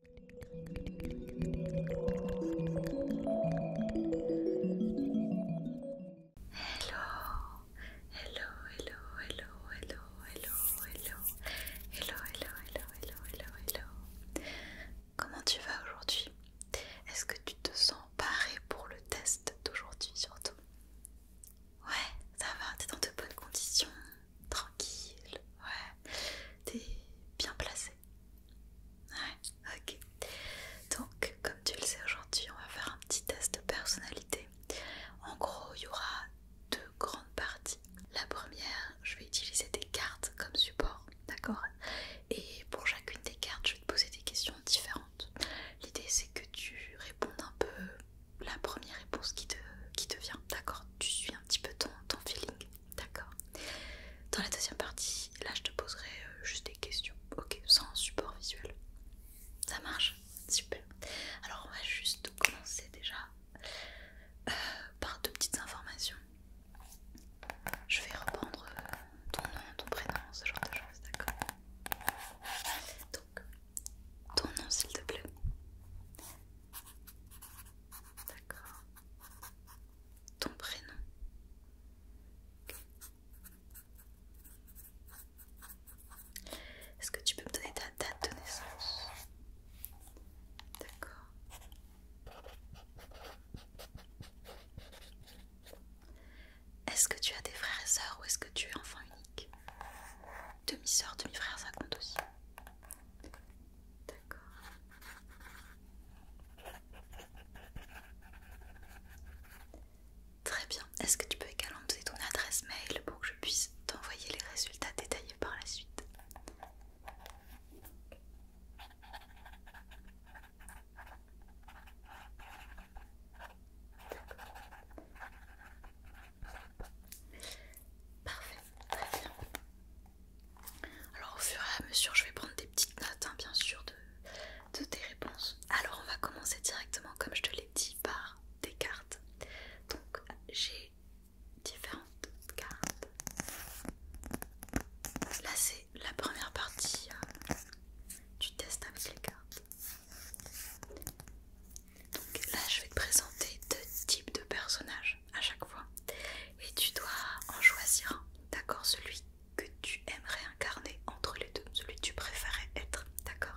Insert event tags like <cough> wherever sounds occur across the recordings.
hello, hello, hello, hello, hello, hello, hello, hello, hello, hello, hello, hello. Comment tu vas aujourd'hui Est-ce que tu te sens paré pour le test d'aujourd'hui surtout Ouais, ça va, t'es dans de bonnes conditions tranquille, ouais, t'es bien placé. Ouais, ok. Donc, comme tu le sais aujourd'hui, on va faire un petit test de personnalité. En gros, il y aura deux grandes parties. La première, je vais utiliser des cartes comme support, d'accord Et pour chacune des cartes, je vais te poser des questions différentes. L'idée, c'est que tu répondes un peu la première réponse qui te, vient, d'accord Tu suis un petit peu ton, ton feeling. D'accord. Dans la deuxième partie, là je te poserai euh, juste des questions, ok, sans support visuel. Ça marche Super. Alors on va juste commencer déjà euh, par deux petites informations. Je vais reprendre euh, ton nom, ton prénom, ce genre de choses, d'accord Donc, ton nom s'il te plaît. D'accord ton prénom. Est-ce que tu peux me donner ta date de naissance D'accord. Est-ce que tu as des frères et sœurs ou est-ce que tu es enfant unique Demi-sœur, demi-frère, ça compte aussi. D'accord. Très bien. Est-ce que tu peux également donner ton adresse mail pour que je puisse t'envoyer les résultats détaillés par la suite Parfait, très bien. Alors au fur et à mesure je vais prendre des petites notes hein, bien sûr de, tes réponses. Alors on va commencer directement comme je te l'ai dit par des cartes. Donc j'ai différentes cartes. Là c'est la première partie euh, du test avec les cartes. Donc là je vais te présenter deux types de personnages à chaque fois et tu dois en choisir d'accord Celui que tu aimerais incarner entre les deux, celui que tu préférais être, d'accord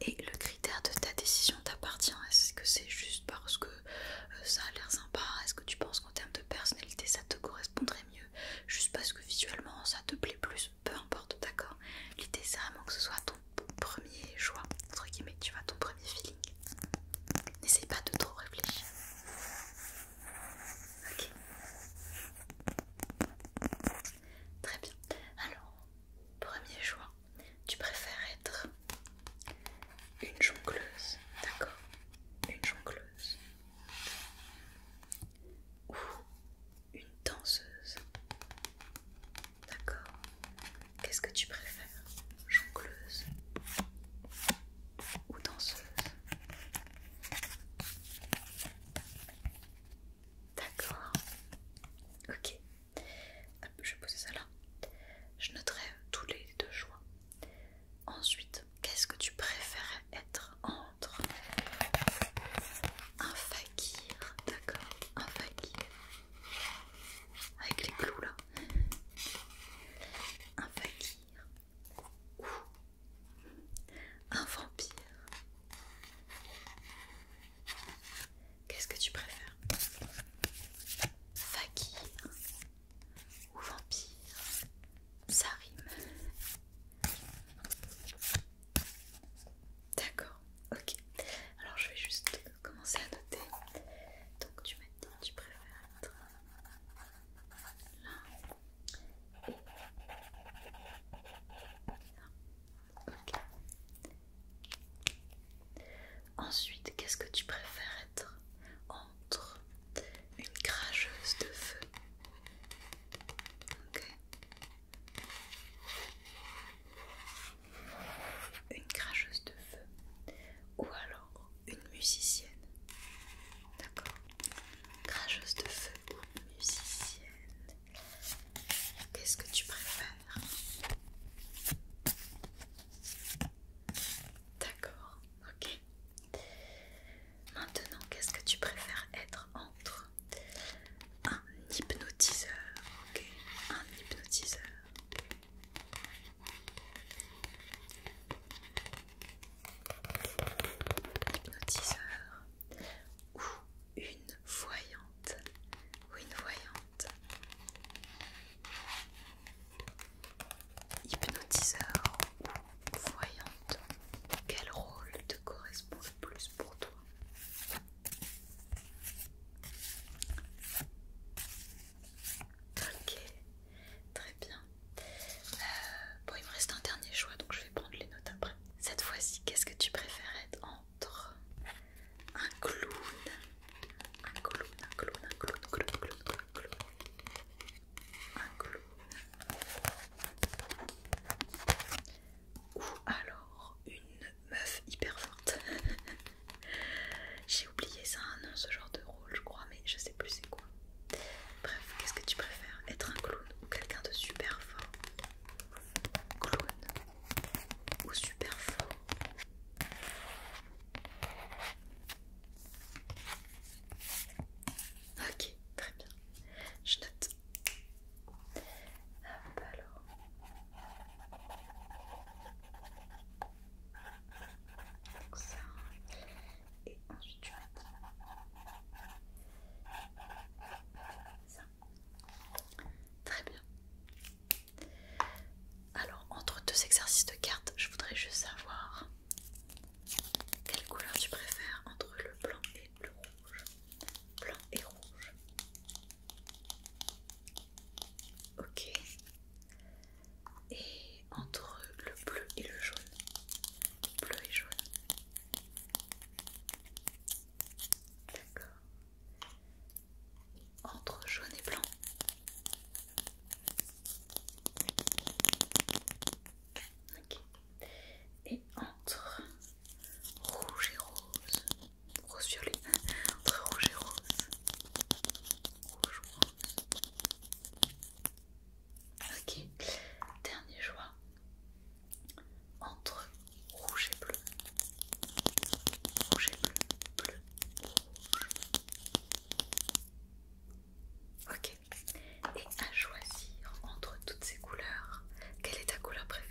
Et le critère de ta décision t'appartient, est-ce que c'est juste parce que euh, ça a l'air sympa Est-ce que tu penses qu'en termes de personnalité ça te correspondrait mieux Juste parce que visuellement ça te plaît plus peu importe, d'accord L'idée c'est vraiment que ce soit ton premier choix, entre guillemets, tu vois, ton premier feeling. N'essaye pas de trop réfléchir. Ok. Très bien. Alors, premier choix, tu préfères être une jongleuse, d'accord Une jongleuse. Ou une danseuse. D'accord. Qu'est-ce que tu préfères Jongleuse ou danseuse D'accord. Ok. je vais poser ça là. Je noterai tous les deux choix. Ensuite, qu'est-ce que tu préfères être entre un fakir, d'accord, un fakir avec les clous là, un fakir ou un vampire. Qu'est-ce que tu préfères, fakir ou vampire? Ça rime. D'accord, ok. Alors je vais juste commencer à noter. Donc tu m'as tu préfères être là là. Ok. Ensuite, qu'est-ce que tu préfères être entre une cracheuse de feu ok une cracheuse de feu ou alors une musicienne. D'accord Cracheuse de feu, ou musicienne. Qu'est-ce que tu préfères D'accord, ok. Maintenant, qu'est-ce que tu préfères être entre un hypnotiseur, ok, un hypnotiseur. Hypnotiseur ou une voyante ou une voyante hypnotiseur ou voyante quel rôle te correspond le plus pour toi Ok, très bien. Euh, bon, il me reste un dernier choix, donc je vais prendre les notes après. Cette fois-ci, qu'est-ce que tu préfères être entre un clown, un clown, un clown, un clown, un clown, un clown, un clown, un clown, ou alors une meuf hyper forte. <laughs> J'ai oublié ça hein, non, ce genre de rôle, je crois, mais je sais plus c'est quoi. Bref, qu'est-ce que tu préfères Être un clown ou quelqu'un de super fort Clown ou super fort Ok, très bien. Je note alors. Et Très bien. Alors entre deux exercices de cartes, je voudrais juste savoir quelle couleur tu préfères entre le blanc et rouge. Blanc et rouge. Ok. Et entre le bleu et le jaune. Bleu et jaune. D'accord. Entre jaune et blanc. Ok entre rouge et rose, rose violet, entre rouge et rose, rouge rose. Ok, dernier choix entre rouge et bleu, rouge et bleu, bleu, rouge. Ok, et à choisir entre toutes ces couleurs, quelle est ta couleur préférée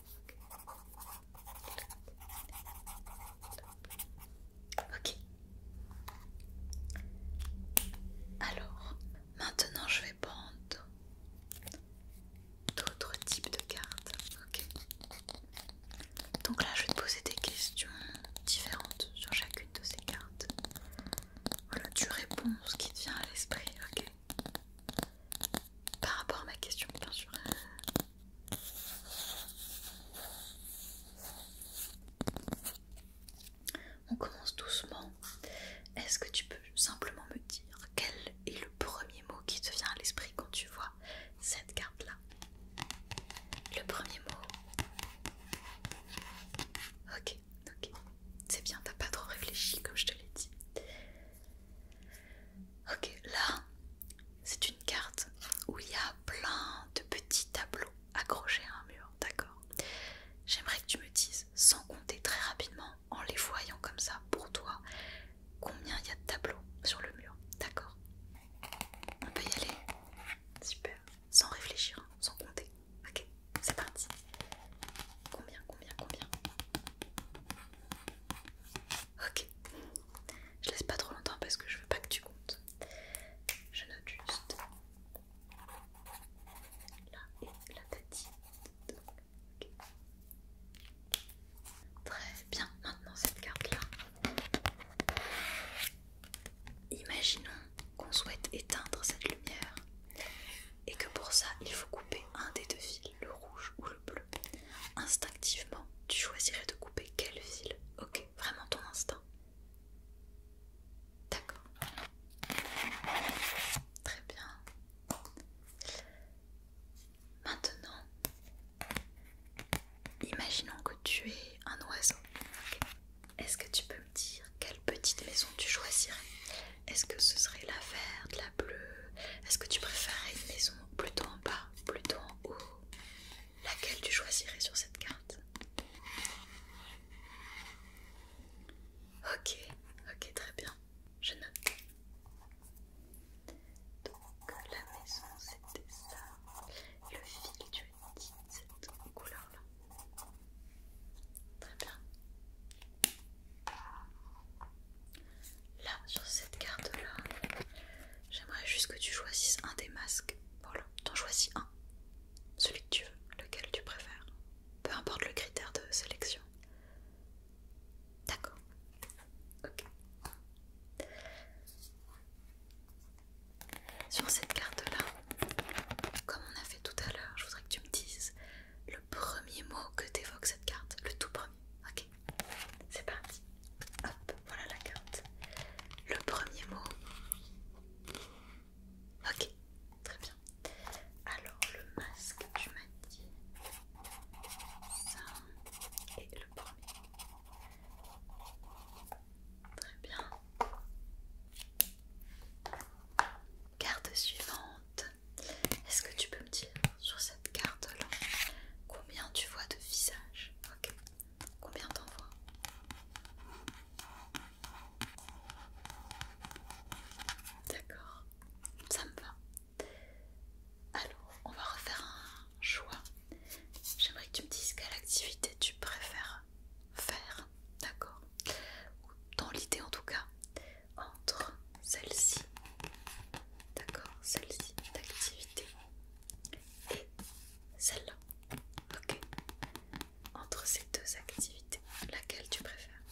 Ok. Alors, maintenant je vais prendre d'autres types de cartes. Ok. Donc là, je vais te poser des questions différentes sur chacune de ces cartes. Voilà, tu réponds ce qui te vient à l'esprit, ok Par rapport à ma question, bien sûr. On commence doucement. Est-ce que tu peux simplement me dire quel est le premier mot qui te vient à l'esprit quand tu vois cette carte-là Le premier mot Ok, ok. C'est bien, t'as pas trop réfléchi comme je te l'ai dit. Ok, là, c'est une carte où il y a plein de petits tableaux accrochés à un mur, d'accord J'aimerais que tu me dises, sans compter très rapidement, en les voyant comme ça pour toi, combien il y a de tableaux sur le mur, d'accord On peut y aller Super, sans réfléchir, hein, sans compter. Ok, c'est parti. Combien, combien, combien Ok. Je laisse pas trop longtemps parce que je veux pas que tu comptes. Je note juste là et la t'as ok. Très bien. Maintenant cette carte là. Imaginons qu'on souhaite éteindre cette lumière et que pour ça il faut couper un des deux fils, le rouge ou bleu. Instinctivement, tu choisirais de couper quelle ville Ok, vraiment ton instinct. D'accord. Très bien. Maintenant, imaginons que tu es un oiseau. Est-ce que tu peux me dire quelle petite maison tu choisirais Est-ce que ce serait la verte, bleu Est-ce que tu préférerais une maison plutôt en bas, plutôt en haut Laquelle tu choisirais sur cette carte Ok, ok, très bien. Je note. Donc la maison c'était ça. le fil, tu as dit cette couleur-là. Très bien. Là, sur cette carte-là, j'aimerais juste que tu choisisses un des masques. Voilà, t'en choisis un. Celui que tu veux, lequel tu préfères. Peu importe le critère de sélection. D'accord. Ok. Sur cette carte-là, comme on a fait tout à l'heure, je voudrais que tu me dises le premier mot que t'évoques cette carte, le tout premier. Ok, c'est parti. Hop, voilà la carte. Le premier mot. Ok, très bien. Alors le masque, tu m'as dit ça et le premier. Très bien. Carte suivante. Est-ce que tu peux dire sur cette carte là combien tu vois de visages Ok. Combien t'en vois D'accord, ça me va. Alors, on va refaire un choix. J'aimerais que tu me dises quelle activité tu préfères faire, d'accord Ou dans l'idée en tout cas, entre celle-ci, d'accord, celle-ci d'activité et celle-là, ok. Entre ces deux activités, laquelle tu préfères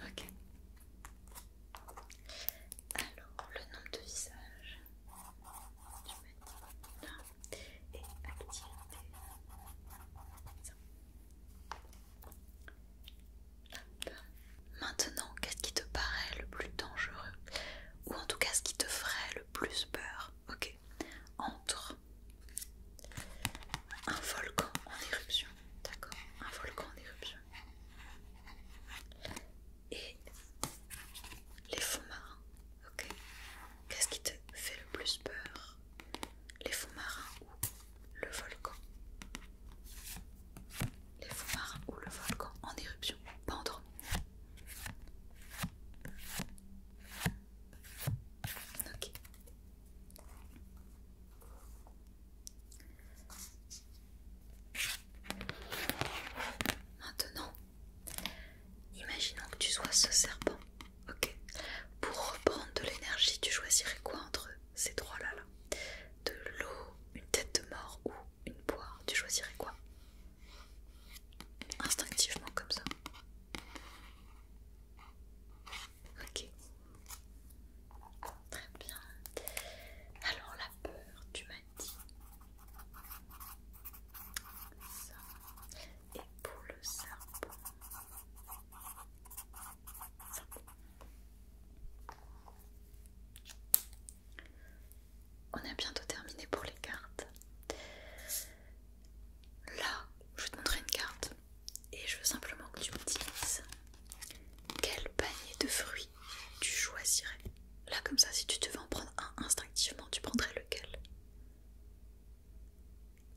Ok. Alors, le nombre de visages, et activité, ça. Maintenant, qu'est-ce qui te paraît le plus dangereux Ou en tout cas, ce qui te ferait le plus peur Ok. Entre un volcan en éruption. D'accord Un volcan en éruption. Et les fonds marins. Ok. Qu'est-ce qui te fait le plus peur les fonds marins ou le volcan. Les fonds marins ou le volcan en éruption, pas Ok. Maintenant, imaginons que tu sois ce serpent Ok. Pour reprendre de l'énergie, tu choisirais quoi entre ces trois-là là De l'eau, une tête de mort ou une poire Tu choisirais quoi Instinctivement comme ça. Ok. Très bien. Alors la peur, tu m'as dit. Ça. Et pour le serpent. On a bientôt terminé pour les cartes. Là, je vais te montrer une carte et je veux simplement que tu me dises quel panier de fruits tu choisirais. Là, comme ça, si tu devais en prendre un instinctivement, tu prendrais lequel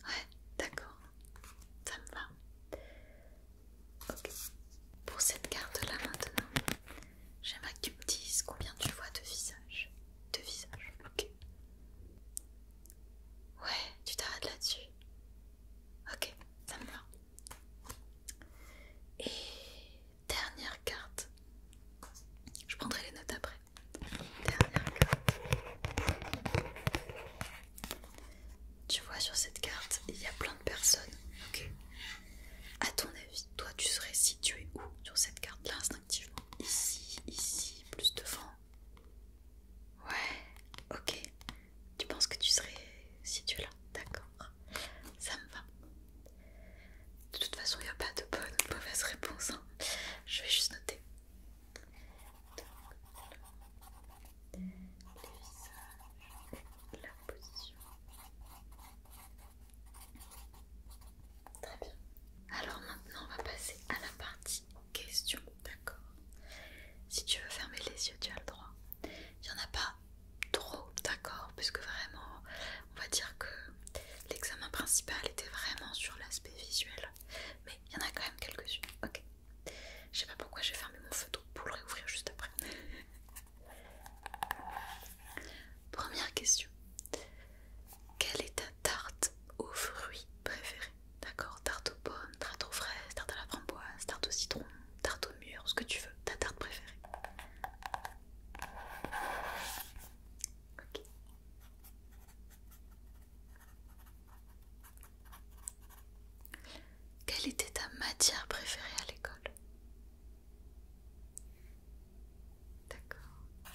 Ouais, d'accord, ça me va. Ok. Pour cette carte-là maintenant, j'aimerais que tu me dises combien tu vois de visages. De visages, ok. Ouais, tu t'arrêtes là-dessus. Ok, ça me va. Et dernière carte. Je prendrai les notes après. Dernière carte. Tu vois, sur cette carte, il y a plein de personnes. Ok À ton avis, toi, tu serais situé où sur cette carte-là instinctivement Ici, ici, plus devant Ouais, ok. Tu penses que tu serais situé là D'accord. Ça me va. De toute façon, il n'y a pas de bonne ou de mauvaise réponse. Hein. Je vais juste noter. Donc, la position. Très bien. Alors maintenant, on va passer à la partie question. d'accord Si tu veux fermer les yeux, tu as le droit. Il n'y en a pas trop, d'accord Puisque vraiment, on va dire que l'examen principal était vraiment sur l'aspect visuel. Mais il y en a quand même quelques-unes, ok je sais pas pourquoi j'ai fermé mon feutre pour le réouvrir juste après. Première question. Quelle est ta tarte aux fruits préférée D'accord Tarte aux pommes, tarte aux fraises, tarte à la framboise, tarte au citron, tarte au mur, ce que tu veux, ta tarte préférée. Ok. Quelle était ta matière préférée à l'école D'accord.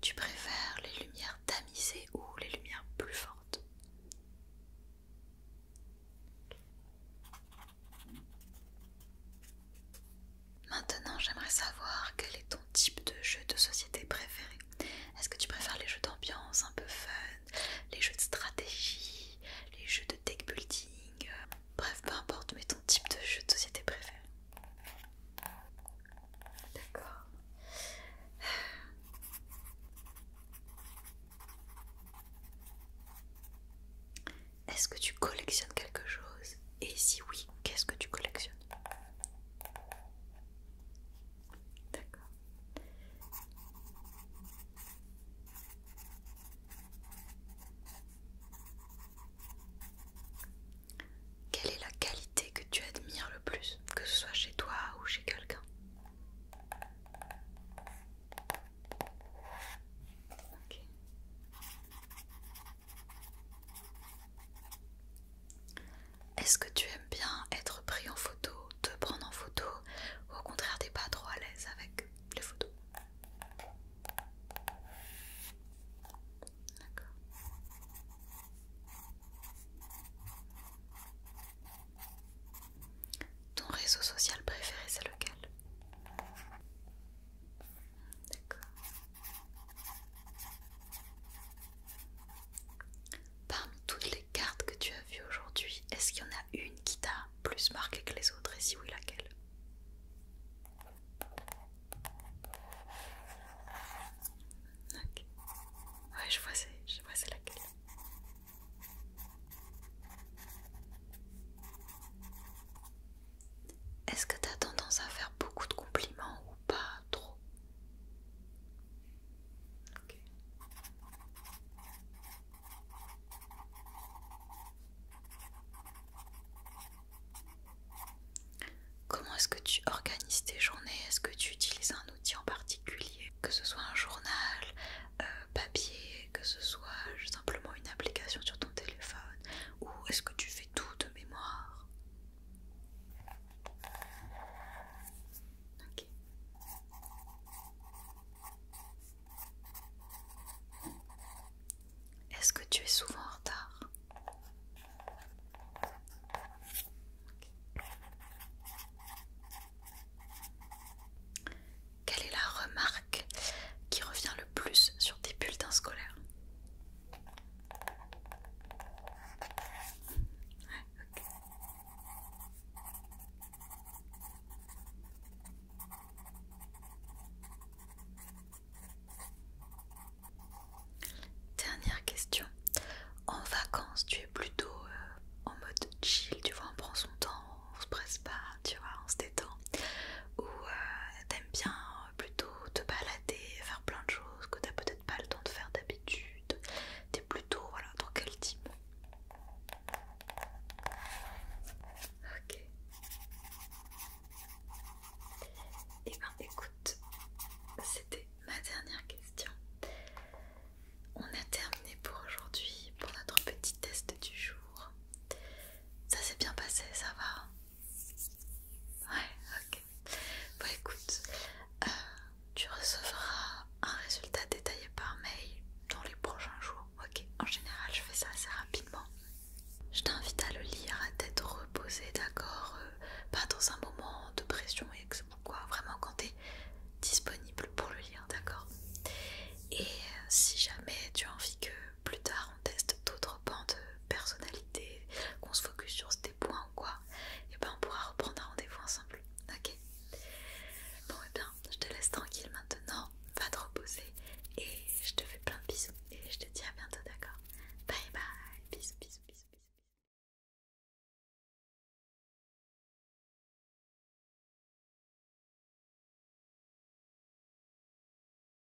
Tu préfères les lumières tamisées ou les lumières plus fortes Maintenant, j'aimerais savoir quel est ton type de jeu de société préféré. Est-ce que tu préfères les jeux d'ambiance un peu fun, les jeux de stratégie, les jeux de deck building euh, Bref, peu importe, mais ton type de jeu de société préféré. D'accord. Est-ce que tu collectionnes quelque chose et si oui, qu'est-ce que tu collectionnes D'accord. Quelle est la qualité que tu admires le plus, que ce soit chez toi ou chez quelqu'un est-ce que tu aimes bien être pris en photo, te prendre en photo, ou au contraire t'es pas trop à l'aise avec les photos D'accord. Ton réseau social préféré c'est lequel D'accord. Parmi toutes les cartes que tu as vues aujourd'hui, est-ce qu'il y en a une qui t'a plus marqué que les autres et si oui laquelle Ok. Ouais, je vois c'est laquelle. Est-ce que tu as tendance à faire beaucoup de compliments ou pas trop Comment est-ce que tu organises tes journées Est-ce que tu utilises un outil en particulier Que ce soit un journal, euh, papier, que ce soit simplement une application sur ton téléphone Ou est-ce que tu fais tout de mémoire. Est-ce que tu es souvent en retard Quelle est la remarque qui revient le plus sur tes bulletins scolaires Dernière question. En vacances, tu es plutôt euh, en mode chill, tu vois, on prend son temps, on se presse pas, tu vois, on se détend. Ou euh, t'aimes bien euh, plutôt te balader, faire plein de choses que tu peut-être pas le temps de faire d'habitude. T'es plutôt voilà, dans quel type Ok. Et eh ben écoute, c'était ma dernière question. On a terminé pour aujourd'hui, pour notre petit test du jour. Ça s'est bien passé, ça va hein Ouais, ok. Bon, bah, écoute, euh, tu recevras un résultat détaillé par mail dans les prochains jours. Ok, en général, je fais ça assez rapidement. Je t'invite à le lire à tête reposée, d'accord euh, Pas dans un moment de pression ou quoi, vraiment quand t'es disponible pour le lire, d'accord Et si jamais tu as envie que plus tard on teste d'autres pans de personnalité, qu'on se focus sur des points ou quoi, et ben on pourra reprendre un rendez-vous ensemble. Ok Bon et eh bien je te laisse tranquille maintenant, va te reposer et je te fais plein de bisous et je te dis à bientôt d'accord Bye bye, bisous bisous bisous bisous.